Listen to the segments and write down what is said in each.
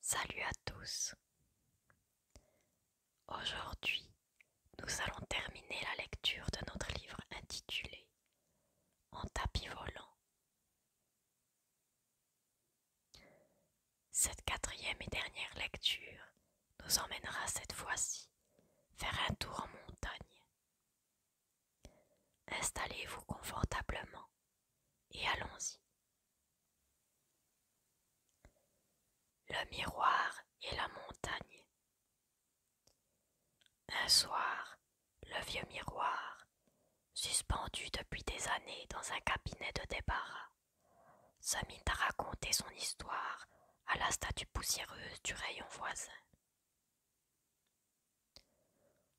Salut à tous. Aujourd'hui, nous allons terminer la lecture de notre livre intitulé En tapis volant. Cette quatrième et dernière lecture nous emmènera cette fois-ci vers un tour en montagne. Installez-vous confortablement et allons-y. Le miroir et la montagne. Un soir, le vieux miroir, suspendu depuis des années dans un cabinet de débarras, se mit à raconter son histoire à la statue poussiéreuse du rayon voisin.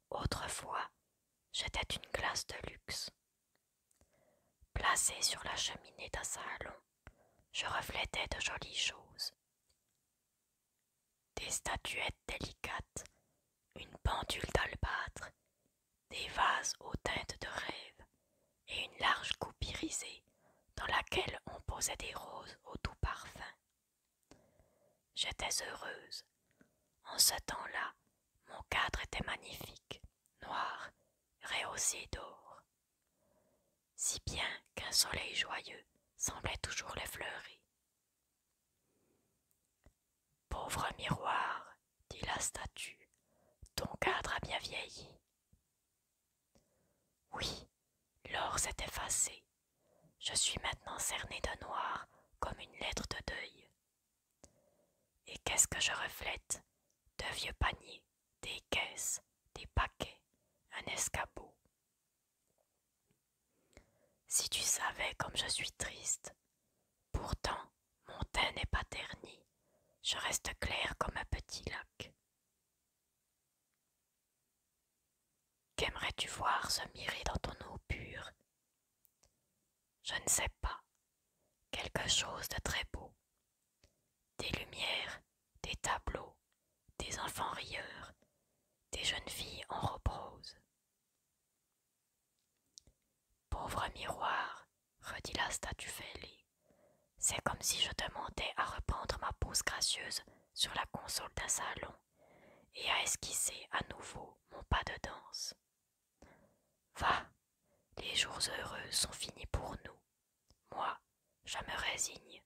Autrefois, j'étais une glace de luxe. Placée sur la cheminée d'un salon, je reflétais de jolies choses. Des statuettes délicates, une pendule d'albâtre, des vases aux teintes de rêve et une large coupe irisée dans laquelle on posait des roses au doux parfum. J'étais heureuse. En ce temps-là, mon cadre était magnifique, noir, rehaussé d'or, si bien qu'un soleil joyeux semblait toujours l'effleurer. Pauvre miroir, dit la statue, ton cadre a bien vieilli. Oui, l'or s'est effacé, je suis maintenant cerné de noir comme une lettre de deuil. Et qu'est-ce que je reflète De vieux paniers, des caisses, des paquets, un escabeau. Si tu savais comme je suis triste, pourtant mon teint n'est pas terni, je reste clair comme un petit lac. Qu'aimerais-tu voir se mirer dans ton eau pure Je ne sais pas. Quelque chose de très beau. Des lumières, des tableaux, des enfants rieurs, des jeunes filles en repose. Pauvre miroir, redit la statue fêlée, c'est comme si je demandais à reprendre ma pose gracieuse sur la console d'un salon et à esquisser à nouveau « Mon pas de danse. Va, les jours heureux sont finis pour nous. Moi, je me résigne.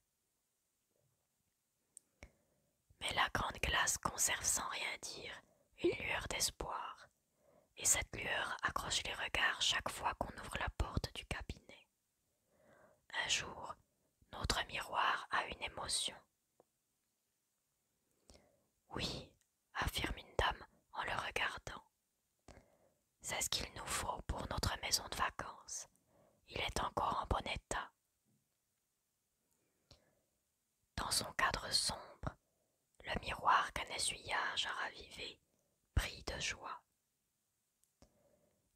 Mais la grande glace conserve sans rien dire une lueur d'espoir, et cette lueur accroche les regards chaque fois qu'on ouvre la porte du cabinet. Un jour, notre miroir a une émotion. Oui, affirme une dame en le regardant. C'est ce qu'il nous faut pour notre maison de vacances. Il est encore en bon état. Dans son cadre sombre, le miroir qu'un essuyage a ravivé brille de joie.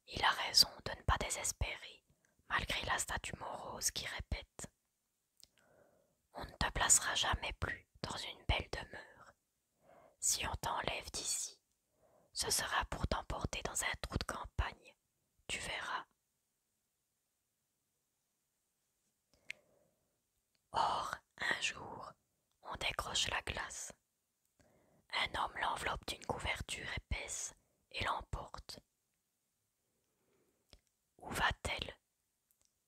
Il a raison de ne pas désespérer, malgré la statue morose qui répète on ne te placera jamais plus dans une belle demeure. Si on t'enlève d'ici, ce sera pour t'emporter dans un trou de campagne, tu verras. Or, un jour, on décroche la glace. Un homme l'enveloppe d'une couverture épaisse et l'emporte, où va-t-elle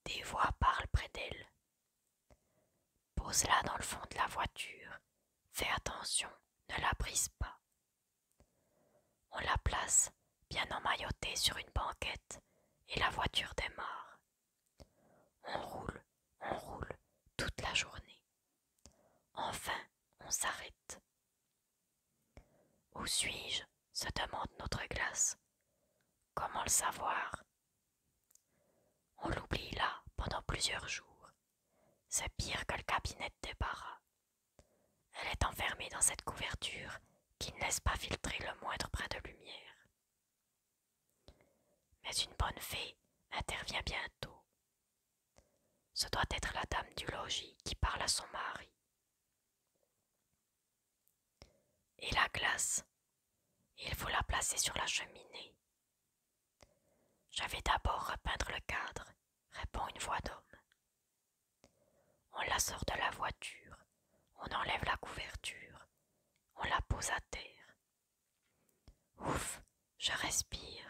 Des voix parlent près d'elle. Pose-la dans le fond de la voiture. Fais attention, ne la brise pas. On la place, bien emmaillotée, sur une banquette, et la voiture démarre. On roule, on roule toute la journée. Enfin, on s'arrête. Où suis-je se demande notre glace. Comment le savoir On l'oublie là pendant plusieurs jours. C'est pire que le cabinet des barras. Elle est enfermée dans cette couverture qui ne laisse pas filtrer le moindre brin de lumière. Mais une bonne fée intervient bientôt. Ce doit être la dame du logis qui parle à son mari, et la glace, il faut la placer sur la cheminée. Je vais d'abord repeindre le cadre, répond une voix d'homme. On la sort de la voiture, on enlève la couverture, on la pose à terre. Ouf, je respire.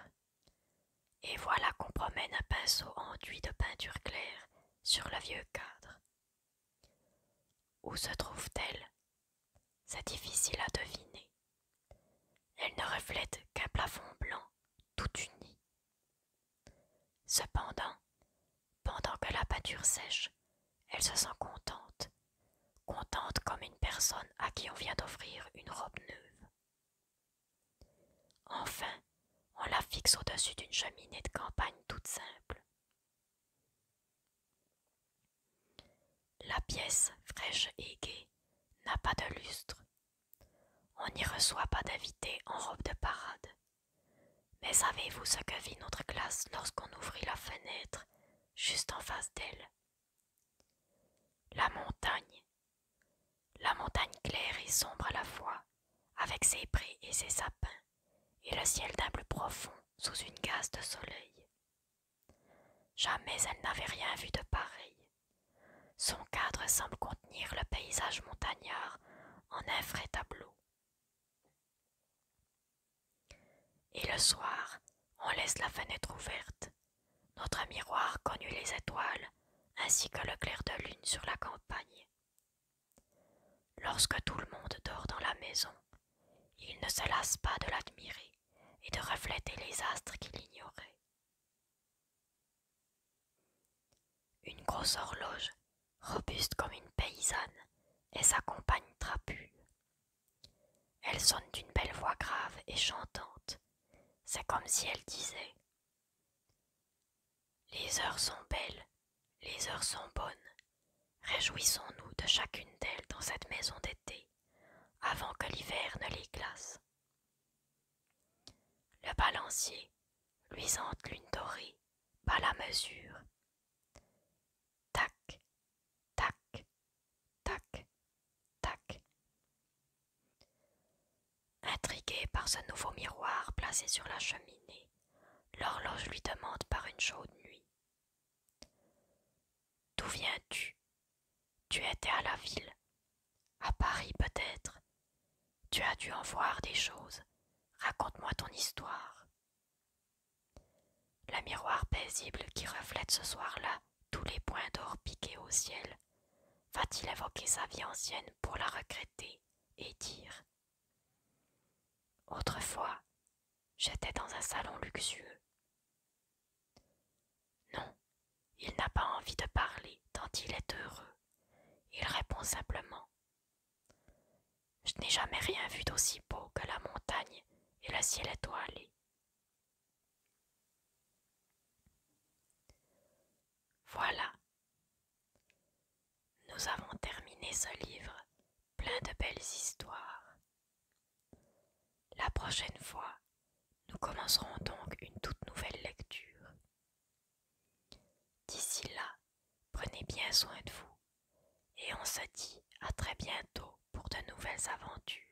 Et voilà qu'on promène un pinceau enduit de peinture claire sur le vieux cadre. Où se trouve-t-elle C'est difficile à deviner. Elle ne reflète qu'un plafond blanc tout uni. Cependant, pendant que la peinture sèche, elle se sent contente, contente comme une personne à qui on vient d'offrir une robe neuve. Enfin, on la fixe au-dessus d'une cheminée de campagne toute simple. La pièce, fraîche et gaie, n'a pas de lustre. On n'y reçoit pas d'invités en robe de parade. Mais savez-vous ce que vit notre classe lorsqu'on ouvrit la fenêtre juste en face d'elle La montagne, la montagne claire et sombre à la fois, avec ses prés et ses sapins, et le ciel d'un bleu profond sous une gaze de soleil. Jamais elle n'avait rien vu de pareil. Son cadre semble contenir le paysage montagnard en un frais tableau. Et le soir, on laisse la fenêtre ouverte. Notre miroir connut les étoiles, ainsi que le clair de lune sur la campagne. Lorsque tout le monde dort dans la maison, il ne se lasse pas de l'admirer et de refléter les astres qu'il ignorait. Une grosse horloge, robuste comme une paysanne, et sa compagne trapue. Elle sonne d'une belle voix grave et chantante. C'est comme si elle disait les heures sont belles, les heures sont bonnes. Réjouissons-nous de chacune d'elles dans cette maison d'été, avant que l'hiver ne les glace. Le balancier, luisante lune dorée, pas la mesure. Tac, tac, tac, tac. Intrigué par ce nouveau miroir placé sur la cheminée, l'horloge lui demande par une chaude nuit. D'où viens-tu Tu étais à la ville, à Paris peut-être. Tu as dû en voir des choses. Raconte-moi ton histoire. Le miroir paisible qui reflète ce soir-là tous les points d'or piqués au ciel va-t-il évoquer sa vie ancienne pour la regretter et dire. Autrefois, j'étais dans un salon luxueux. Non, il n'a pas envie de parler tant il est heureux. Il répond simplement. Je n'ai jamais rien vu d'aussi beau que la montagne et le ciel étoilé. Voilà nous avons terminé ce livre plein de belles histoires. La prochaine fois, nous commencerons donc une toute nouvelle lecture. D'ici là, prenez bien soin de vous et on se dit à très bientôt pour de nouvelles aventures.